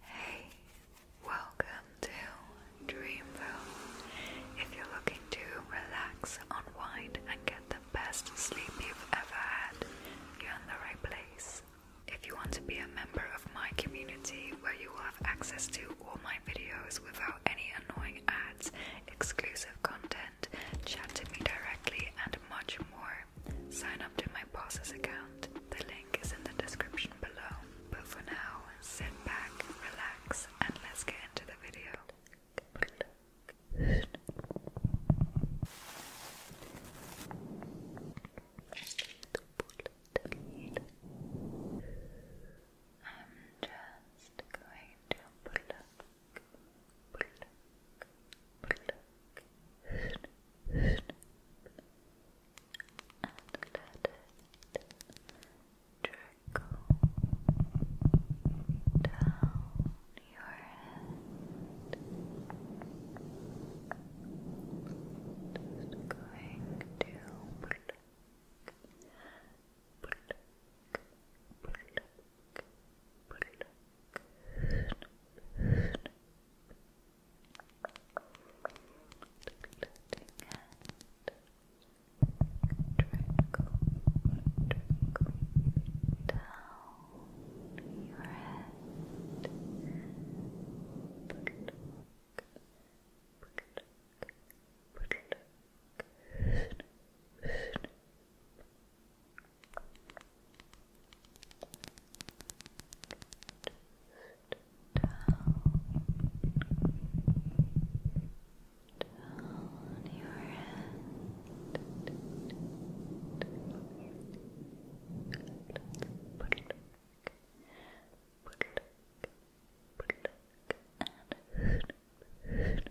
Hey, welcome to Dreamville. If you're looking to relax, unwind, and get the best sleep you've ever had, you're in the right place. If you want to be a member of my community where you will have access to all my videos without any annoying ads, exclusive content, chat to me directly, and much more, sign up to my boss's account. The link is in the description below. But for now, sit back, relax, and let's get into the video and let it trickle down your head. Just going to pluck, pluck, pluck, pluck. Pluck, pluck, pluck, pluck, trickle, trickle down your head. Good down, down your head. Put it back, put it back, put it back, and hoot, hoot.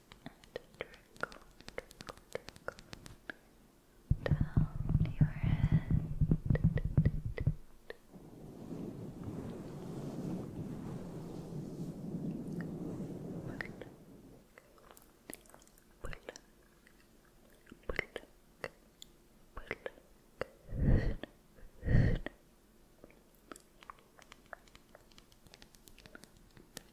trickle, trickle, trickle down your head. Pluck, pluck, pluck, pluck. Pluck,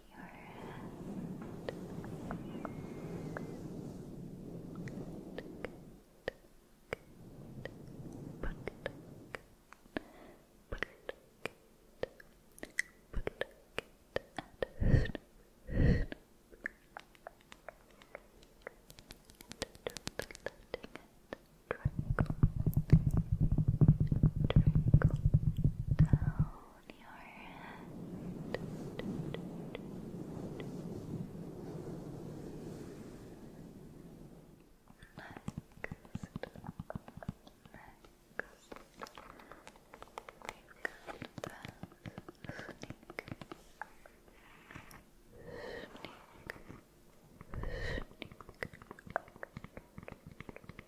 your hand. Good, good. Good, good. Good, good. And snip, snip. And just letting it Triangle, triangle down, your head. Next. Next. We've got that. Sneak. Sneak. Sneak. Sneak.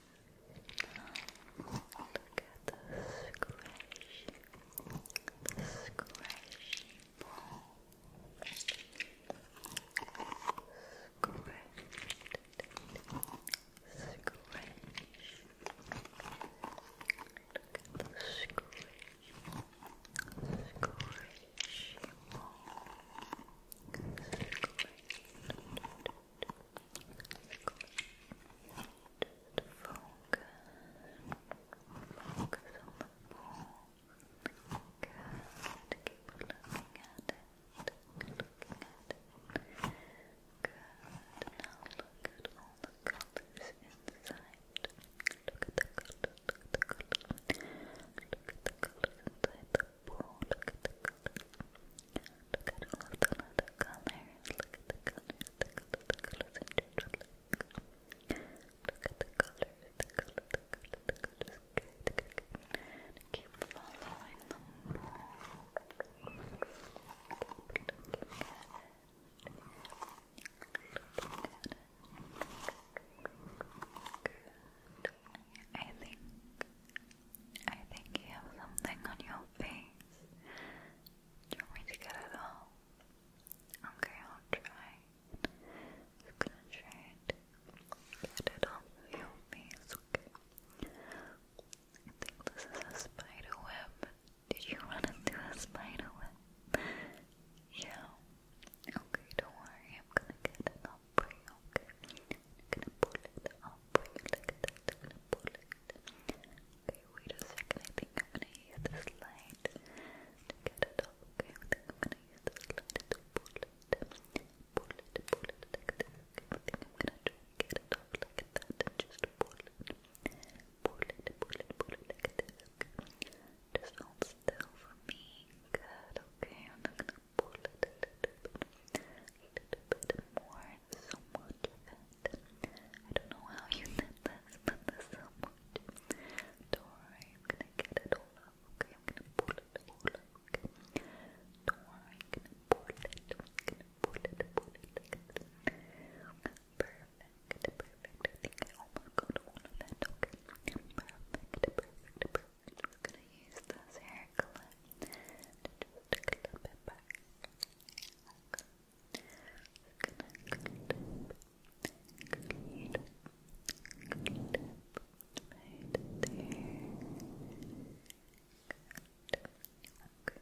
Look at the squishy, the squishy ball. Squish, squish. Look at the squish, squishy ball. Squish. Squish. Focus on the ball. Good. Keep looking at it. Keep looking at it. Good. Now look at all the colors inside. Look at the colors. Look at the colors. Look at the colors inside the Whoa, look at the color. Look at all the other colors. Look at the colors. The color, the colors in general. Look at the colors. The color, the color, the colors. Good, good, good. Keep following them. Keep looking at it. Good. I think I think you have something on your face. Do to get it off? Okay, I'll try. I'm try to get it off your face, okay? I think this is a spider web. Did you run into a spider web? yeah. Okay, don't worry, I'm gonna get it off okay? I'm gonna pull it out for you like that. I'm gonna pull it. Okay, wait a second. I think I'm gonna use this light to get it up, okay? I think I'm gonna use this light to pull it. Pull it, pull it like this. Okay, I think I'm gonna try to get it up like that and just pull it. Pull it, pull it, pull it like this. Okay. Just hold still for Good, okay. I'm gonna pull it a little bit, a little bit more, so much of it. I don't know how you did this, but there's so much. Don't worry, I'm gonna get it all up, okay? I'm gonna pull it all up, okay? Don't worry, I'm gonna pull it, I'm gonna pull it, pull it, pull it. Perfect, perfect. I think I almost got all of that, okay? Perfect, perfect, perfect. I'm gonna use this hair clip to just clip it back. I'm gonna clip, clip, clip right there. Good. Okay, let's take, let clip.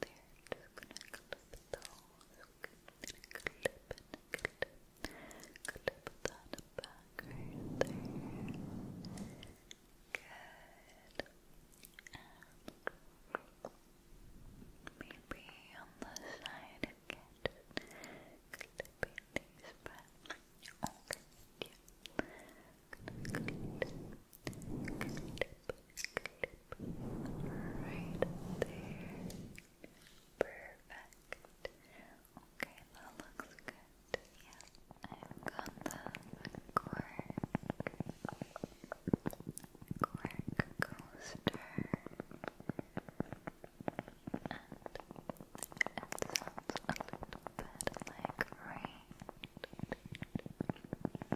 there. Just gonna clip those. Gonna clip and clip. Clip that back right there. Good. maybe on the side again. Clipping these back. Okay. Yeah. going right there. Perfect. Okay, that looks good. Yeah, I've got the cork, cork coaster, and it sounds a little bit like rain.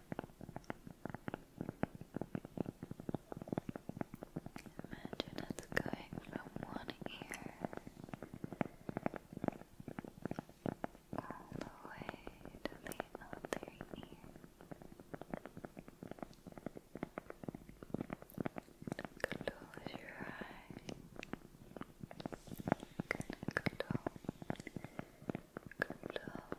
Imagine it's going from one ear all the way to the other ear. Close your eyes. Gonna close, close,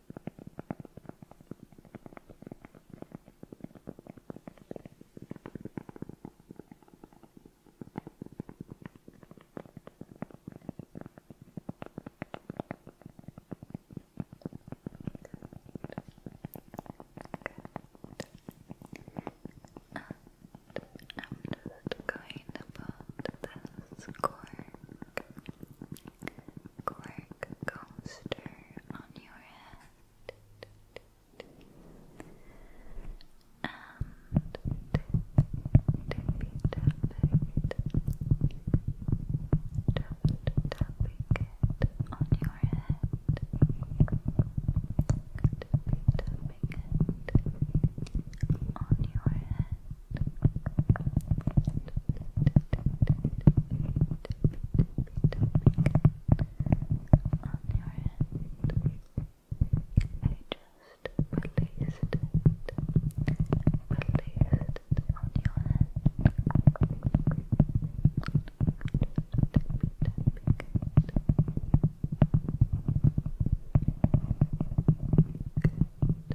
I'm just going to this cork cork coaster on your head. And tippy tapping, tapping it on your head. Tippy tapping it on your head on your I just released released on your hand.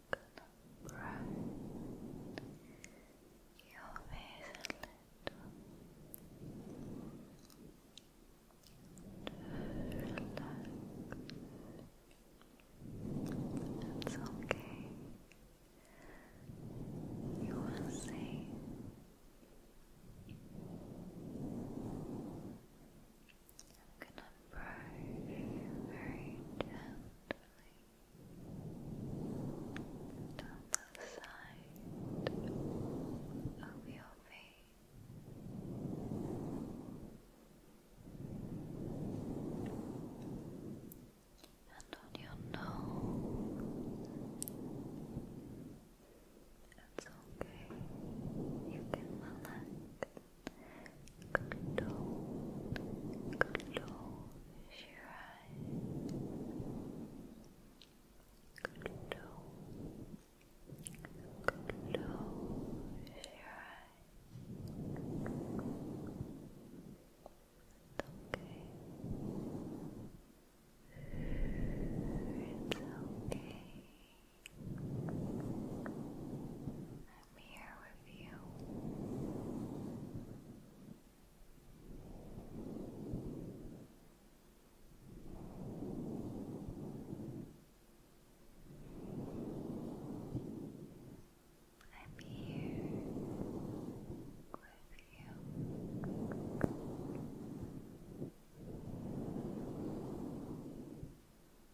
gonna brighten your face a little. Relax. It's okay. You are safe. I'm gonna brush very gently down the side of your face and on your nose. It's okay, you can relax. Close, close your eyes. Close, close your eyes. Okay. It's okay. I I'm here with you. I'm here with you.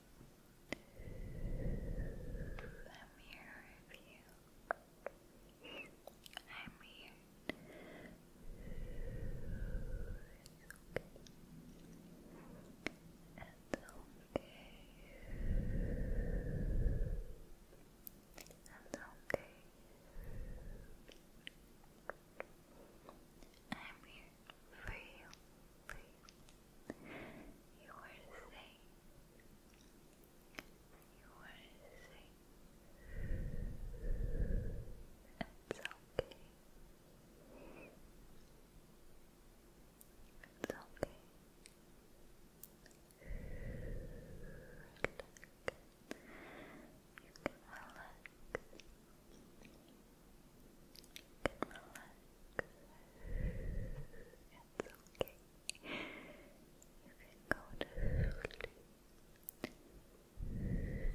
I'm here with you. I'm here. It's okay. It's okay. I'm here for you, you. are safe. You are safe. It's okay. It's okay. relax. Relax can It's okay. You can go to sleep. You can go to Sleep.